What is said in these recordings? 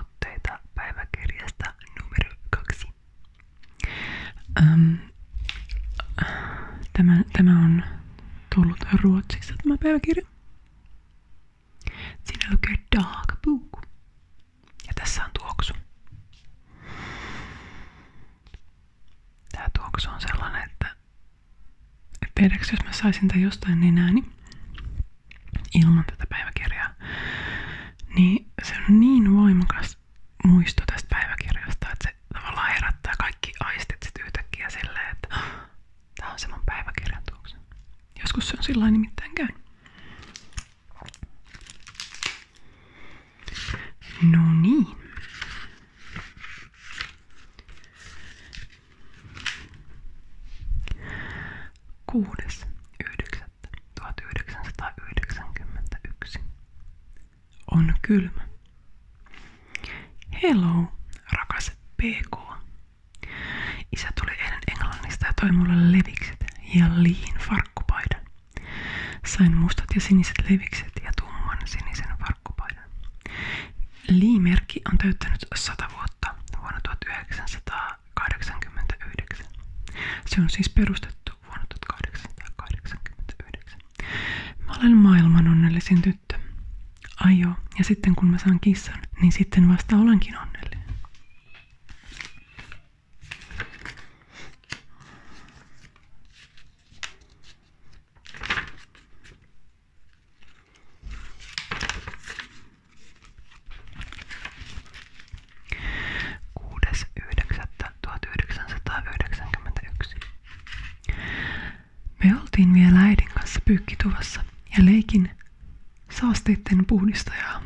Otteita päiväkirjasta numero kaksi. Ähm, tämä, tämä on tullut ruotsissa tämä päiväkirja. Siinä lukee Dagbook. Ja tässä on tuoksu. Tää tuoksu on sellainen, että Tiedäks, jos mä saisin tämän jostain nenääni niin ilman tätä päiväkirjaa, niin se on niin voimakas muisto tästä päiväkirjasta, että se tavallaan herättää kaikki aistit sit yhtäkkiä silleen, että tää on se mun päiväkirjan tuoksu. Joskus se on sillä nimittäin käynyt. No niin. 6. 1991 On kylmä. Hello, rakas PK. Isä tuli eilen Englannista ja toi mulle levikset ja liin farkkupaidan. Sain mustat ja siniset levikset ja tumman sinisen farkkupaidan. Liimerkki on täyttänyt 100 vuotta vuonna 1989. Se on siis perustettu vuonna 1889. Mä olen maailman onnellisin tyttö. Ai joo, ja sitten kun mä saan kissan, niin sitten vasta olenkin onnellinen. 6.9.1991. Me oltiin vielä äidin kanssa pyykkituvassa ja leikin saasteiden puhdistajaa.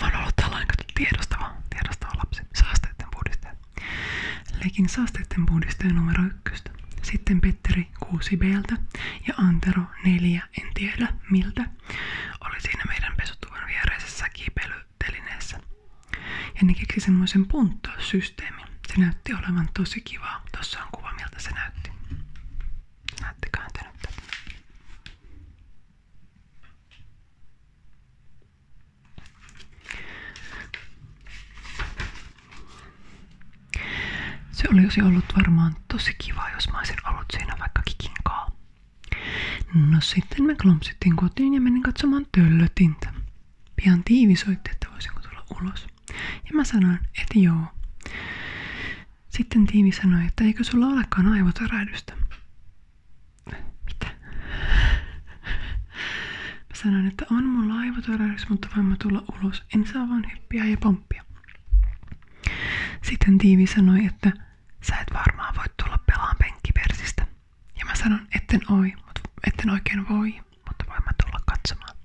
Mä oon ollut tällainen tiedostava, tiedostava lapsi. Saasteiden puhdistaja. Lekin saasteiden puhdistaa numero ykköstä. Sitten Petteri 6Bltä ja Antero 4, en tiedä miltä, oli siinä meidän pesutuvan viereisessä kiipeilytelineessä. Ja ne keksi semmoisen punttaussysteemin. Se näytti olevan tosi kivaa. Tossa on kuva, miltä se näytti. Näyttiköhän te nyt se olisi ollut varmaan tosi kiva, jos mä olisin ollut siinä vaikka kikinkaa. No sitten me klompsittiin kotiin ja menin katsomaan töllötintä. Pian tiivi soitti, että voisinko tulla ulos. Ja mä sanoin, että joo. Sitten tiivi sanoi, että eikö sulla olekaan aivotärähdystä. Mitä? Mä sanoin, että on mulla aivotuoreus, mutta voin mä tulla ulos. En saa vaan hyppiä ja pomppia. Sitten Tiivi sanoi, että sä et varmaan voi tulla pelaan penkkipersistä. Ja mä sanon, etten, oi, mutta etten oikein voi, mutta voin mä katsomaan.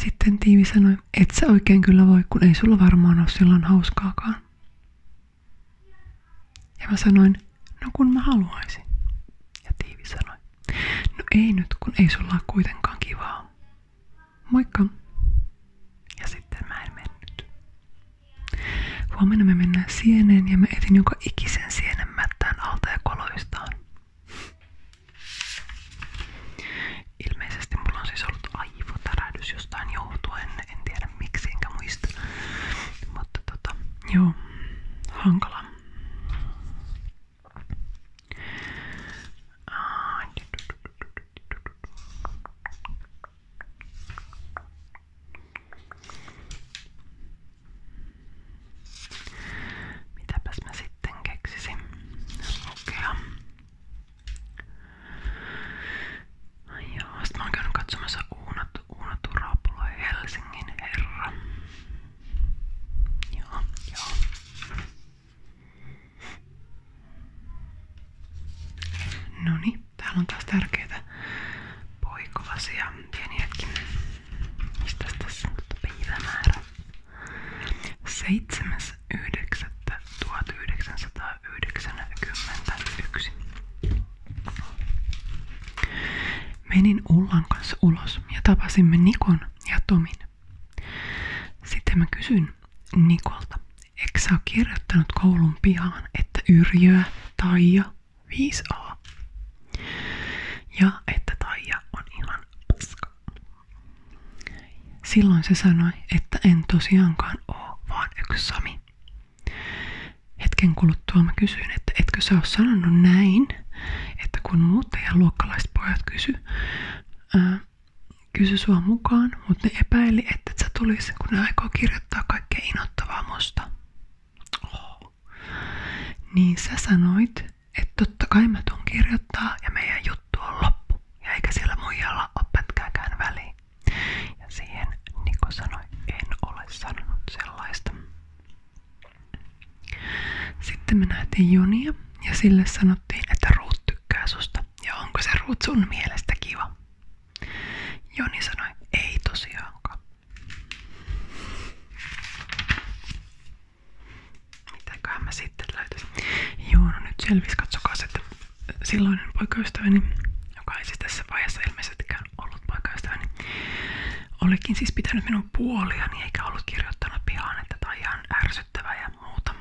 Sitten Tiivi sanoi, et sä oikein kyllä voi, kun ei sulla varmaan ole silloin hauskaakaan. Ja mä sanoin, no kun mä haluaisin. Ja tiivi sanoi, no ei nyt, kun ei sulla ole kuitenkaan kivaa. Moikka. Ja sitten mä en mennyt. Huomenna me mennään sieneen ja mä etin joka ikisen sienen mättään alta ja koloistaan. Ilmeisesti mulla on siis ollut aivotärähdys jostain johtuen, en tiedä tiedä miksi enkä muista. Mutta tota, joo, hankala. Mitäpäs mä sitten keksisin lukea? Ai joo, sit mä oon käynyt katsomassa uunattu, uunattu raapula Helsingin herra. Joo, joo. No Noni, niin, täällä on taas tärkeitä poikolasia. Pieni hetki. Mistä tässä on päivämäärä? 7.9.1991. Menin Ullan kanssa ulos ja tapasimme Nikon ja Tomin. Sitten mä kysyn Nikolta, eikö sä oo kirjoittanut koulun pihaan, että Yrjöä, Taija, 5A. Ja että Taija on ihan paska. Silloin se sanoi, että en tosiaankaan oo vaan yksi Sami. Hetken kuluttua mä kysyin, että etkö sä oo sanonut näin, että kun muuttajan luokkalaiset pojat kysy, ää, kysy sua mukaan, mutta ne epäili, että et sä tulis, kun ne aikoo kirjoittaa kaikkea inottavaa musta. Oh. Niin sä sanoit, että totta kai mä tuun kirjoittaa ja meidän juttu on loppu. Ja eikä siellä muijalla ole pätkääkään väliin. Ja siihen Niko niin sanoi, en ole sanonut sellaista. Sitten me nähtiin Junia ja sille sanottiin, että Ruut tykkää susta ja onko se Ruut sun mielestä kiva. Joni sanoi, ei tosiaankaan. Mitäköhän mä sitten löytäisin? Joo, no nyt selvisi, katsokaa sitten silloinen poikaystäväni, joka ei siis tässä vaiheessa ilmeisestikään ollut poikaystäväni, olikin siis pitänyt minun puoliani eikä ollut kirjoittanut pihaan, että tämä on ihan ärsyttävää ja muuta.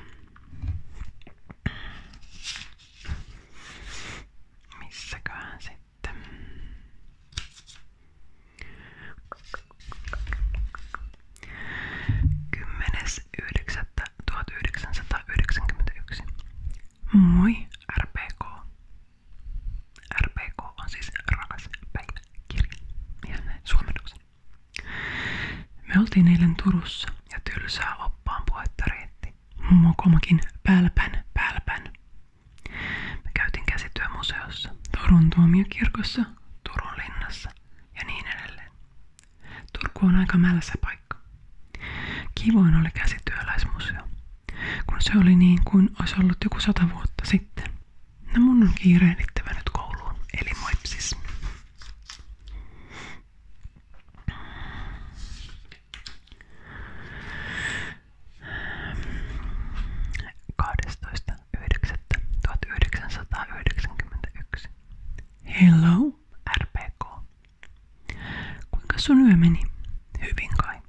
Missäköhän sitten? Kymmenes yhdeksättä 1991. Moi RPK. RPK on siis rakas päiväkirja. Ihan näin suomennoksen. Me oltiin eilen Turussa ja tylsää oppaan puhetta riitti. Mokomakin pälpän pälpän. Me käytiin käsityömuseossa, Turun tuomiokirkossa, Turun linnassa ja niin edelleen. Turku on aika mälsä paikka. Kivoin oli käsityöläismuseo, kun se oli niin kuin olisi ollut joku sata vuotta sitten. No mun on kiirehdittävä nyt kouluun, eli moipsis. Kahdestoista Hello, RPK. Kuinka sun yö meni? Hyvin kai.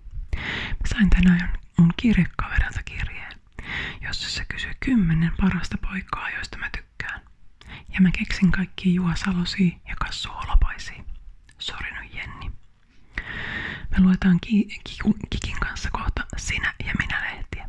Mä sain tänään mun kirjekaverinsa kirjeen, jossa se kysyi kymmenen parasta poikaa, joista mä tykkään. Ja mä keksin kaikki juosalosi ja kassu holopaisi. Sori nyt Jenni. Me luetaan ki- ki- Kikin kanssa kohta Sinä ja minä lehtiä.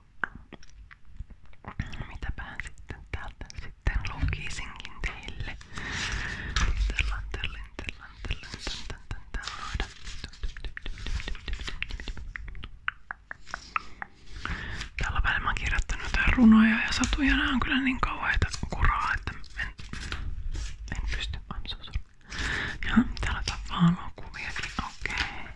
Mitäpähän sitten täältä sitten lukisinkin teille. Tellan, tellin, tellan, tellin, tän, tän, tän, tän, Tällä välillä mä oon kirjoittanut jotain runoja ja satuja. Nää on kyllä niin kauheita kuraa, että en, en pysty. I'm so sorry. Jaha, täällä on valokuviakin. Niin okei. Okay.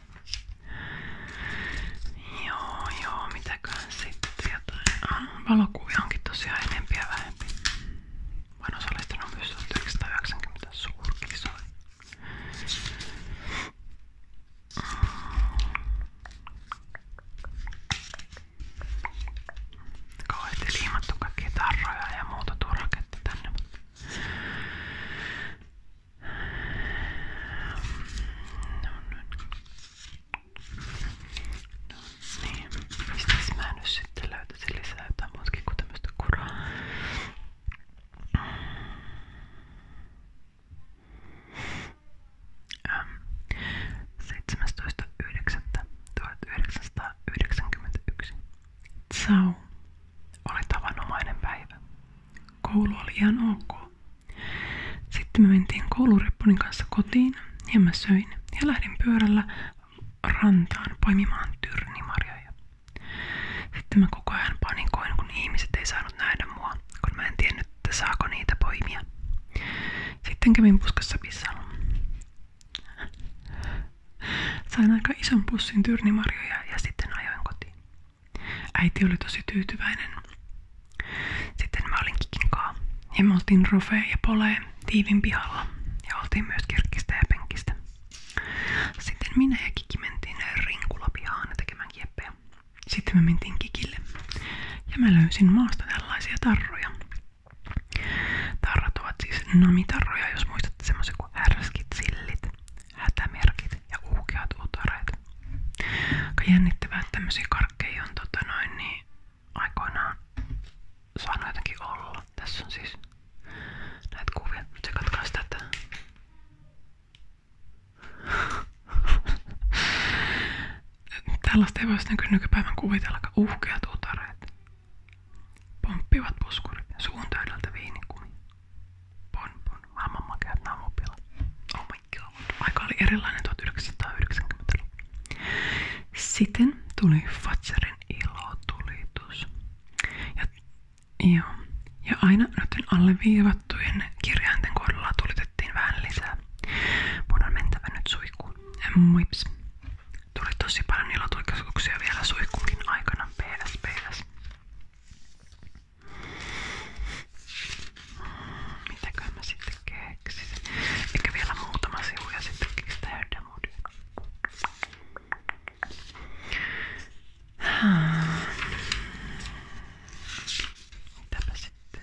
Joo, joo, mitäköhän sitten tietää. Ah, valokuvia onkin tosiaan enempi ja vähempi. Mä oon osallistunut myös 1990 suurkisoihin. Kauheasti liimattu kaikkia tarroja ja muuta tuo raketti tänne. No niin. Mistäs mä nyt sitten löytäisin lisää jotain muutakin kuin tämmöstä kuraa? Ähm. 17.9.1991. Ciao. Oli tavanomainen päivä. Koulu oli ihan ok. Sitten me mentiin koulureppunin kanssa kotiin ja mä söin ja lähdin pyörällä rantaan poimimaan tyrnimarjoja. Sitten mä koko ajan panikoin, kun ihmiset ei saanut nähdä mua, kun mä en tiennyt, että saako niitä poimia. Sitten kävin puskassa pissalla. Sain aika ison pussin tyrnimarjoja ja sitten ajoin kotiin. Äiti oli tosi tyytyväinen. Sitten mä olin kikinkaa ja me oltiin rofea ja polee tiivin pihalla ja oltiin myös kirkkistä ja penkistä. Sitten minä ja Kiki mentiin rinkulapihaan tekemään kieppeä. Sitten me mentiin Kikille ja mä löysin maasta tällaisia tarroja. Tarrat ovat siis namitarroja, jos muistatte semmoisia kuin härskit, sillit, hätämerkit ja uukeat utareet. Aika jännittävää, että tämmöisiä karkkeja on tota noin, niin aikoinaan saanut jotenkin olla. Tässä on siis näitä kuvia. Nyt se katkaisi tätä. Tällaista ei voisi nykypäivän kuvitellakaan. Uhkeat utareet, pomppivat puskurit, suun täydeltä viinikumi, Pon Pon, maailman makeat naamupila. Oh my god, aika oli erilainen 1990-luvulla. Sitten tuli Fatserin ilotulitus. Ja, ja, ja aina noiden alleviivattujen kirjainten kohdalla tulitettiin vähän lisää. Mun on mentävä nyt suihkuun. Moips. Tuli tosi paljon ilotulituksia vielä suihkuunkin aikana. PS, PS. Mitäköhän mä sitten keksisin? Eikä vielä muutama sivu ja sitten kekstään Herdamodia. Mitäpä sitten?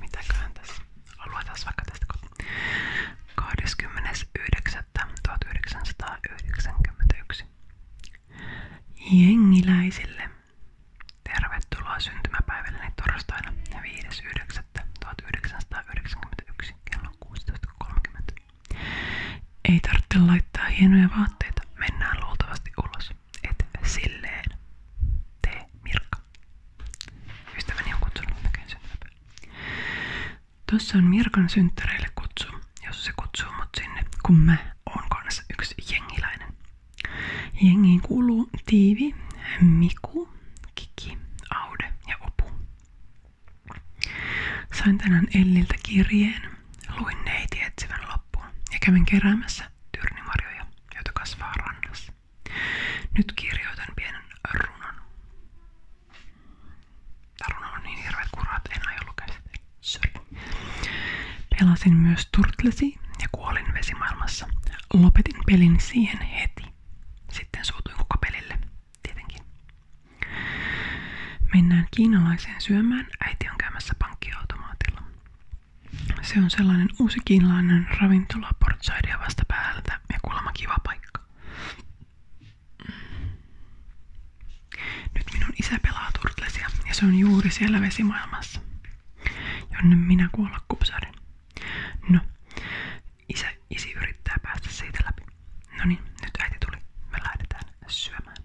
Mitäköhän tässä? Aloitetaan vaikka tästä 29.1991. Jengiläisille. Tervetuloa syntymäpäivälleni torstaina 5.9.1991 kello 16.30. Ei tarvitse laittaa hienoja vaatteita. Mennään luultavasti ulos. Et silleen. Tee Mirka. Ystäväni on kutsunut näköjään syntymäpäivä. Tossa on Mirkan synttäreille kutsu, jos se kutsuu mut sinne, kun mä oon kanssa yksi jengiläinen. Jengiin kuuluu Tiivi, Miku, Kiki, Aude ja Opu. Sain tänään Elliltä kirjeen, luin neiti etsivän loppuun ja kävin keräämässä tyrnimarjoja, joita kasvaa rannassa. Nyt kirjoitan pienen runon. Tää runo on niin hirveet kuraa, en aio lukea sitä. Sorry. Pelasin myös turtlesi ja kuolin vesimaailmassa. Lopetin pelin siihen heti. Sitten suutuin koko pelille. Tietenkin. Mennään kiinalaiseen syömään. Äiti on käymässä pankkiautomaatilla. Se on sellainen uusi kiinalainen ravintola portsaidia vasta päältä ja kuulemma kiva paikka. Nyt minun isä pelaa turtlesia ja se on juuri siellä vesimaailmassa, jonne minä kuolla kupsarin. No, isä, isi yrittää päästä siitä läpi. No niin, nyt äiti tuli. Me lähdetään syömään.